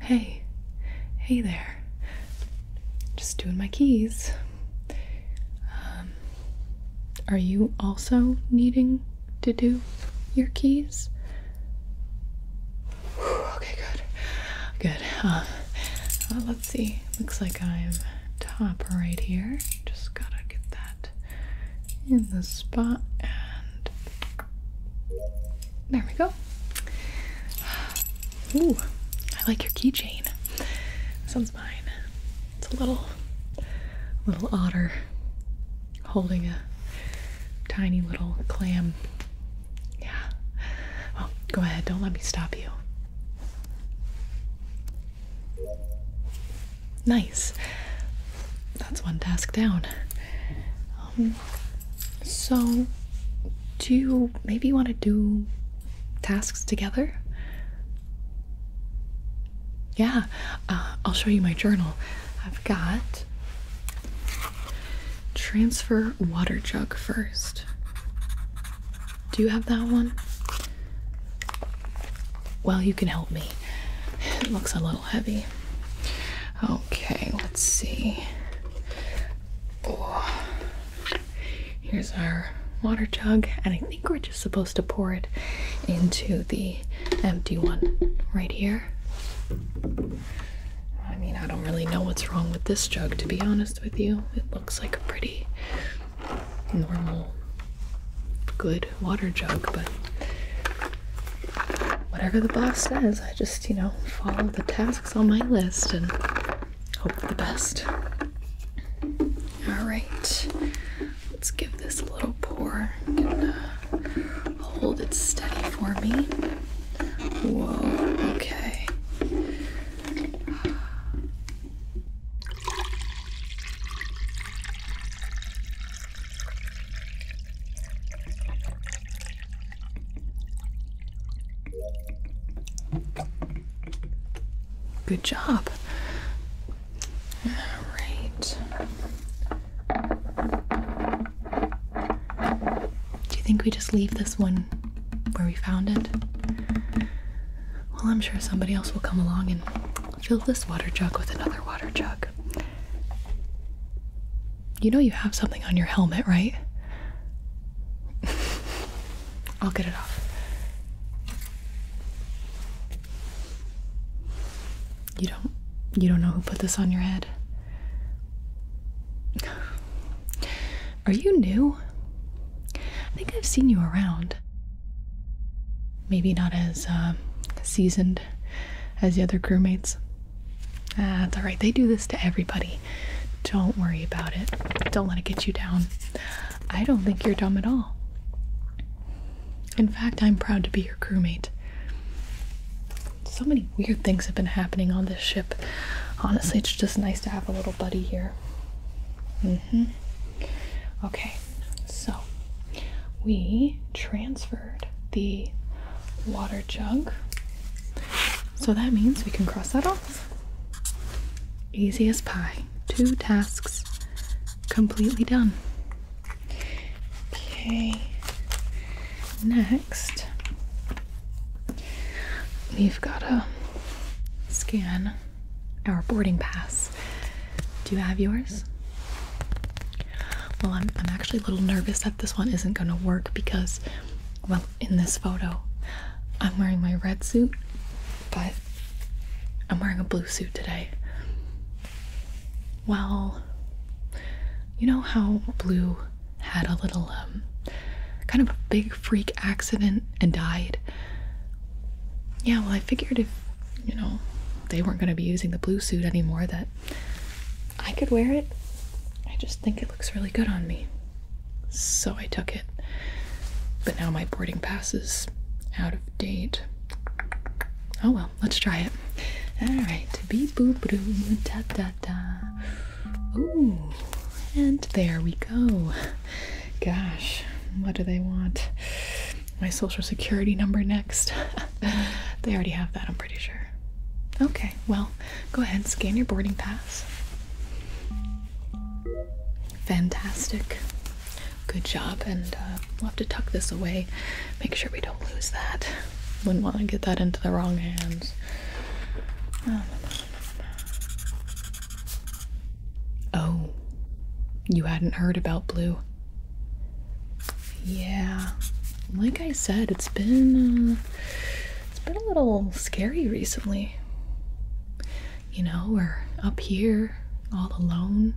Hey, hey there. Just doing my keys. Um, are you also needing to do your keys? okay, good. Good. Uh, uh, let's see. Looks like I'm top right here. Just gotta get that in the spot and there we go. Ooh, I like your keychain. This one's mine. It's a little little otter holding a tiny little clam. Yeah. Well, oh, go ahead, don't let me stop you. Nice. That's one task down. Um, so, do you maybe want to do tasks together? Yeah, uh, I'll show you my journal. I've got transfer water jug first. Do you have that one? Well, you can help me. It looks a little heavy. Okay, let's see. Oh. Here's our water jug, and I think we're just supposed to pour it into the empty one right here. I mean, I don't really know what's wrong with this jug, to be honest with you. It looks like a pretty normal good water jug, but whatever the boss says, I just, you know, follow the tasks on my list and hope the best. Alright, let's give this a little pour. hold it steady for me. Whoa, okay. Good job. All right. Do you think we just leave this one where we found it? Well, I'm sure somebody else will come along and fill this water jug with another water jug. You know you have something on your helmet, right? I'll get it off. You don't you don't know who put this on your head? Are you new? I think I've seen you around. Maybe not as uh, seasoned as the other crewmates. That's ah, alright. They do this to everybody. Don't worry about it. Don't let it get you down. I don't think you're dumb at all. In fact, I'm proud to be your crewmate. So many weird things have been happening on this ship. Honestly, it's just nice to have a little buddy here here. mm Okay, so we transferred the water jug. So that means we can cross that off. Easy as pie. Two tasks completely done. Okay, next We've got to scan our boarding pass. Do you have yours? Well, I'm, I'm actually a little nervous that this one isn't going to work because, well, in this photo, I'm wearing my red suit, but I'm wearing a blue suit today. Well, you know how blue had a little um, kind of a big freak accident and died. Yeah, well, I figured if, you know, they weren't going to be using the blue suit anymore, that I could wear it. I just think it looks really good on me. So I took it. But now my boarding pass is out of date. Oh well, let's try it. Alright, beep boop doo, da da Ooh, and there we go. Gosh, what do they want? My social security number next. they already have that, I'm pretty sure. Okay, well, go ahead and scan your boarding pass. Fantastic. Good job, and uh, we'll have to tuck this away. Make sure we don't lose that. Wouldn't want to get that into the wrong hands. Oh, Oh, you hadn't heard about Blue? Yeah, like I said, it's been uh, it's been a little scary recently. You know, we're up here all alone.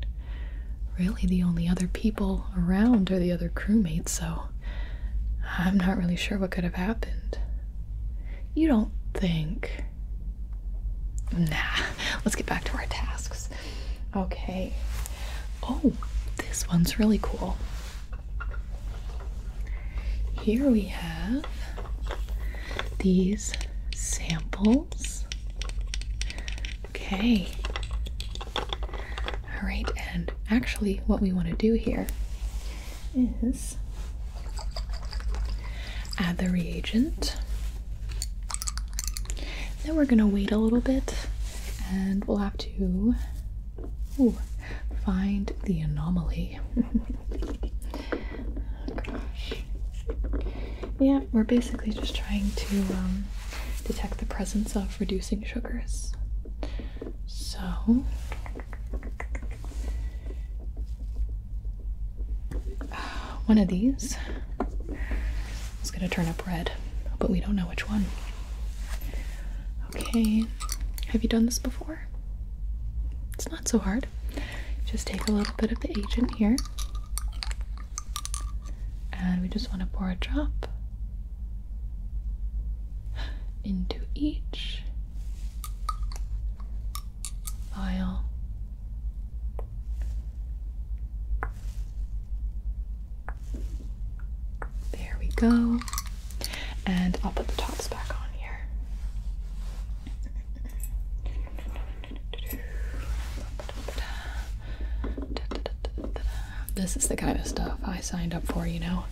Really, the only other people around are the other crewmates, so I'm not really sure what could have happened. You don't think. Nah, let's get back to our tasks. Okay. Oh, this one's really cool. Here we have these samples. Okay. All right, and actually, what we want to do here is add the reagent. Then we're gonna wait a little bit and we'll have to find the anomaly. Yeah, we're basically just trying to um, detect the presence of reducing sugars. So one of these is going to turn up red, but we don't know which one. Okay, have you done this before? It's not so hard. Just take a little bit of the agent here, and we just want to pour a drop into each file. There we go. And I'll put the tops back on here. This is the kind of stuff I signed up for, you know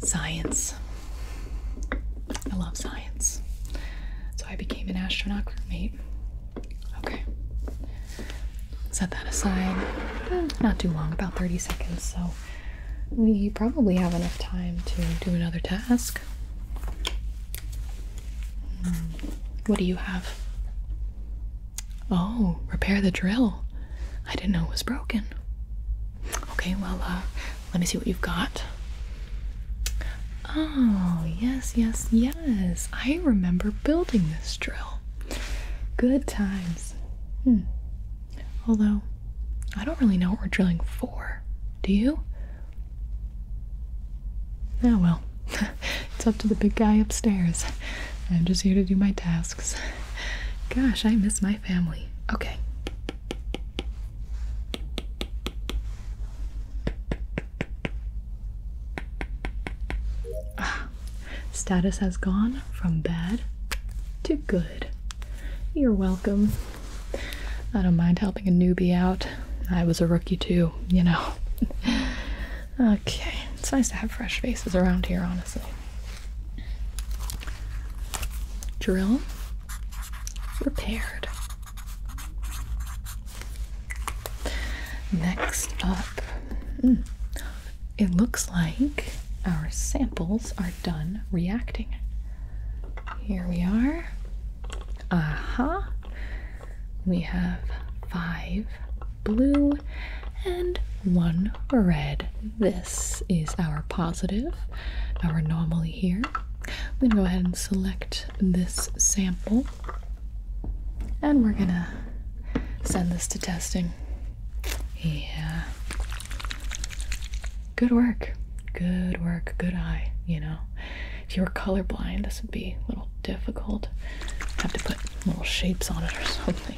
science. I love science. So I became an astronaut crewmate. Okay. Set that aside. Not too long, about 30 seconds. So we probably have enough time to do another task. Hmm. What do you have? Oh, repair the drill. I didn't know it was broken. Okay, well, uh, let me see what you've got. Oh, yes, yes, yes. I remember building this drill. Good times. Hmm. Although, I don't really know what we're drilling for. Do you? Oh well. it's up to the big guy upstairs. I'm just here to do my tasks. Gosh, I miss my family. Okay. Ah, status has gone from bad to good. You're welcome. I don't mind helping a newbie out. I was a rookie too, you know. okay, it's nice to have fresh faces around here, honestly. Drill repaired. Next up, hmm, it looks like our samples are done reacting. Here we are. Aha! Uh -huh. We have five blue and one red. This is our positive, our anomaly here. I'm gonna go ahead and select this sample and we're gonna send this to testing. Yeah. Good work. Good work. Good eye, you know. If you were colorblind, this would be a little difficult. Have to put little shapes on it or something.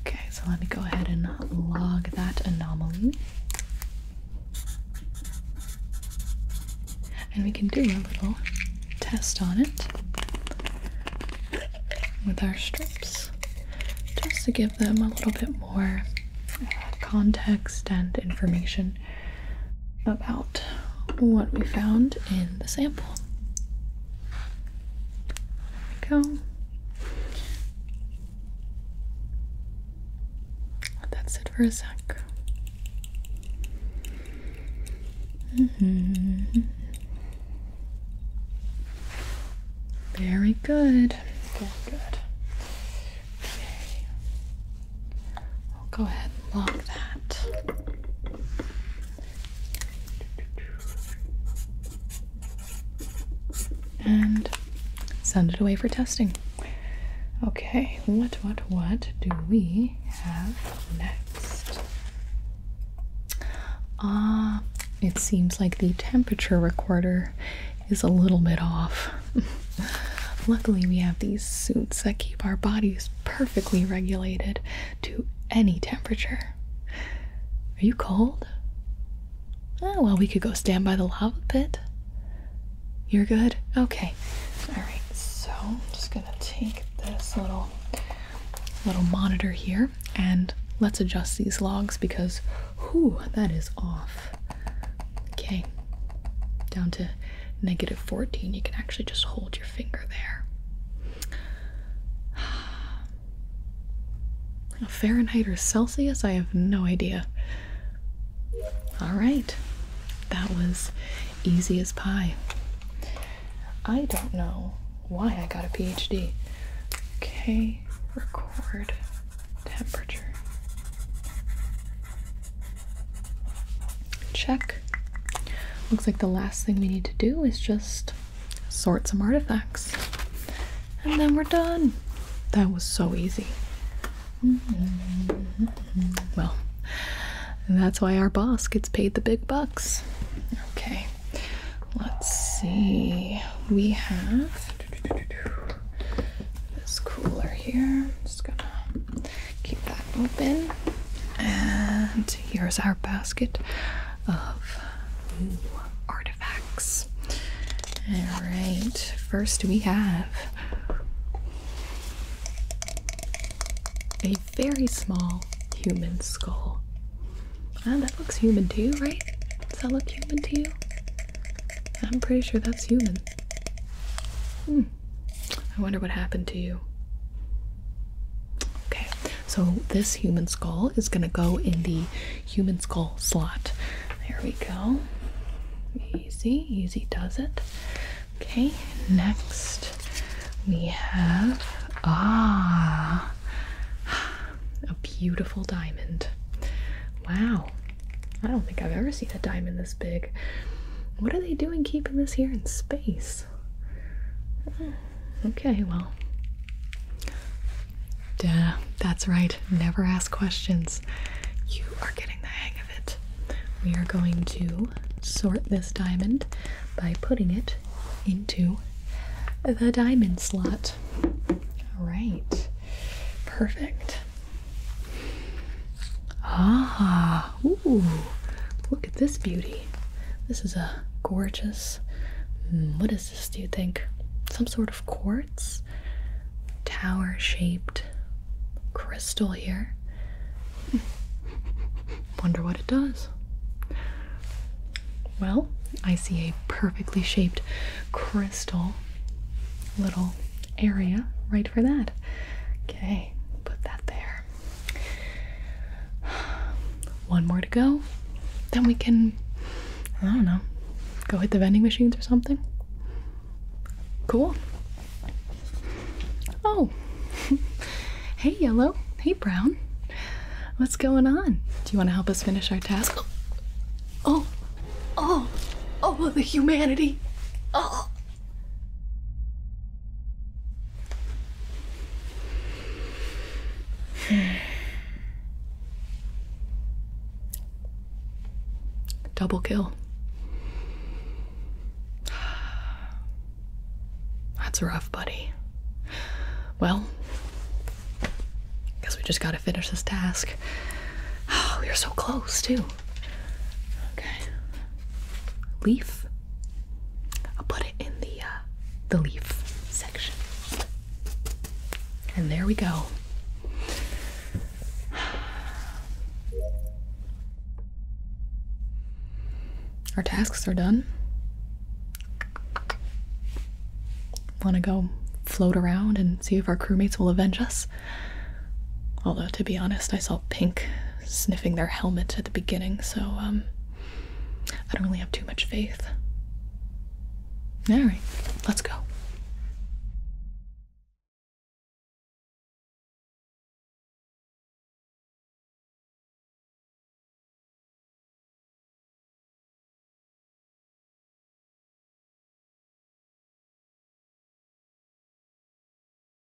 Okay, so let me go ahead and log that anomaly. And we can do a little test on it with our strips just to give them a little bit more context and information about what we found in the sample. There we go. Let that sit for a sec. Mm-hmm. Very good. Very good. Okay. I'll go ahead and lock that and send it away for testing. Okay, what, what, what do we have next? Ah, it seems like the temperature recorder is a little bit off. Luckily, we have these suits that keep our bodies perfectly regulated to any temperature. Are you cold? Oh, well, we could go stand by the lava pit. You're good? Okay. Alright, so I'm just gonna take this little little monitor here and let's adjust these logs because whew, that is off. Okay. Down to negative 14. You can actually just hold your finger there. Fahrenheit or Celsius? I have no idea. Alright, that was easy as pie. I don't know why I got a PhD. Okay, record temperature. Check Looks like the last thing we need to do is just sort some artifacts. And then we're done. That was so easy. Well, that's why our boss gets paid the big bucks. Okay, let's see. We have this cooler here. just gonna keep that open. And here's our basket of artifacts. Alright, first we have a very small human skull. Ah, that looks human to you, right? Does that look human to you? I'm pretty sure that's human. Hmm. I wonder what happened to you. Okay, so this human skull is going to go in the human skull slot. There we go. Easy, easy does it. Okay, next we have ah a beautiful diamond. Wow. I don't think I've ever seen a diamond this big. What are they doing keeping this here in space? Okay, well. that's right. Never ask questions. You are getting the hang of it. We are going to sort this diamond by putting it into the diamond slot. Alright. Perfect. Ah, Ooh, look at this beauty. This is a gorgeous. Mm, what is this, do you think? Some sort of quartz? Tower shaped crystal here. Hmm. Wonder what it does. Well, I see a perfectly shaped crystal little area right for that. Okay, put that there. One more to go. Then we can, I don't know, go hit the vending machines or something. Cool. Oh, hey, yellow. Hey, brown. What's going on? Do you want to help us finish our task? Oh, oh, oh, the humanity. Oh, Double kill. That's rough, buddy. Well, guess we just gotta finish this task. Oh, we are so close, too. Okay, leaf. I'll put it in the uh, the leaf section. And there we go. Our tasks are done. Want to go float around and see if our crewmates will avenge us? Although, to be honest, I saw pink sniffing their helmet at the beginning, so um, I don't really have too much faith. Alright, let's go.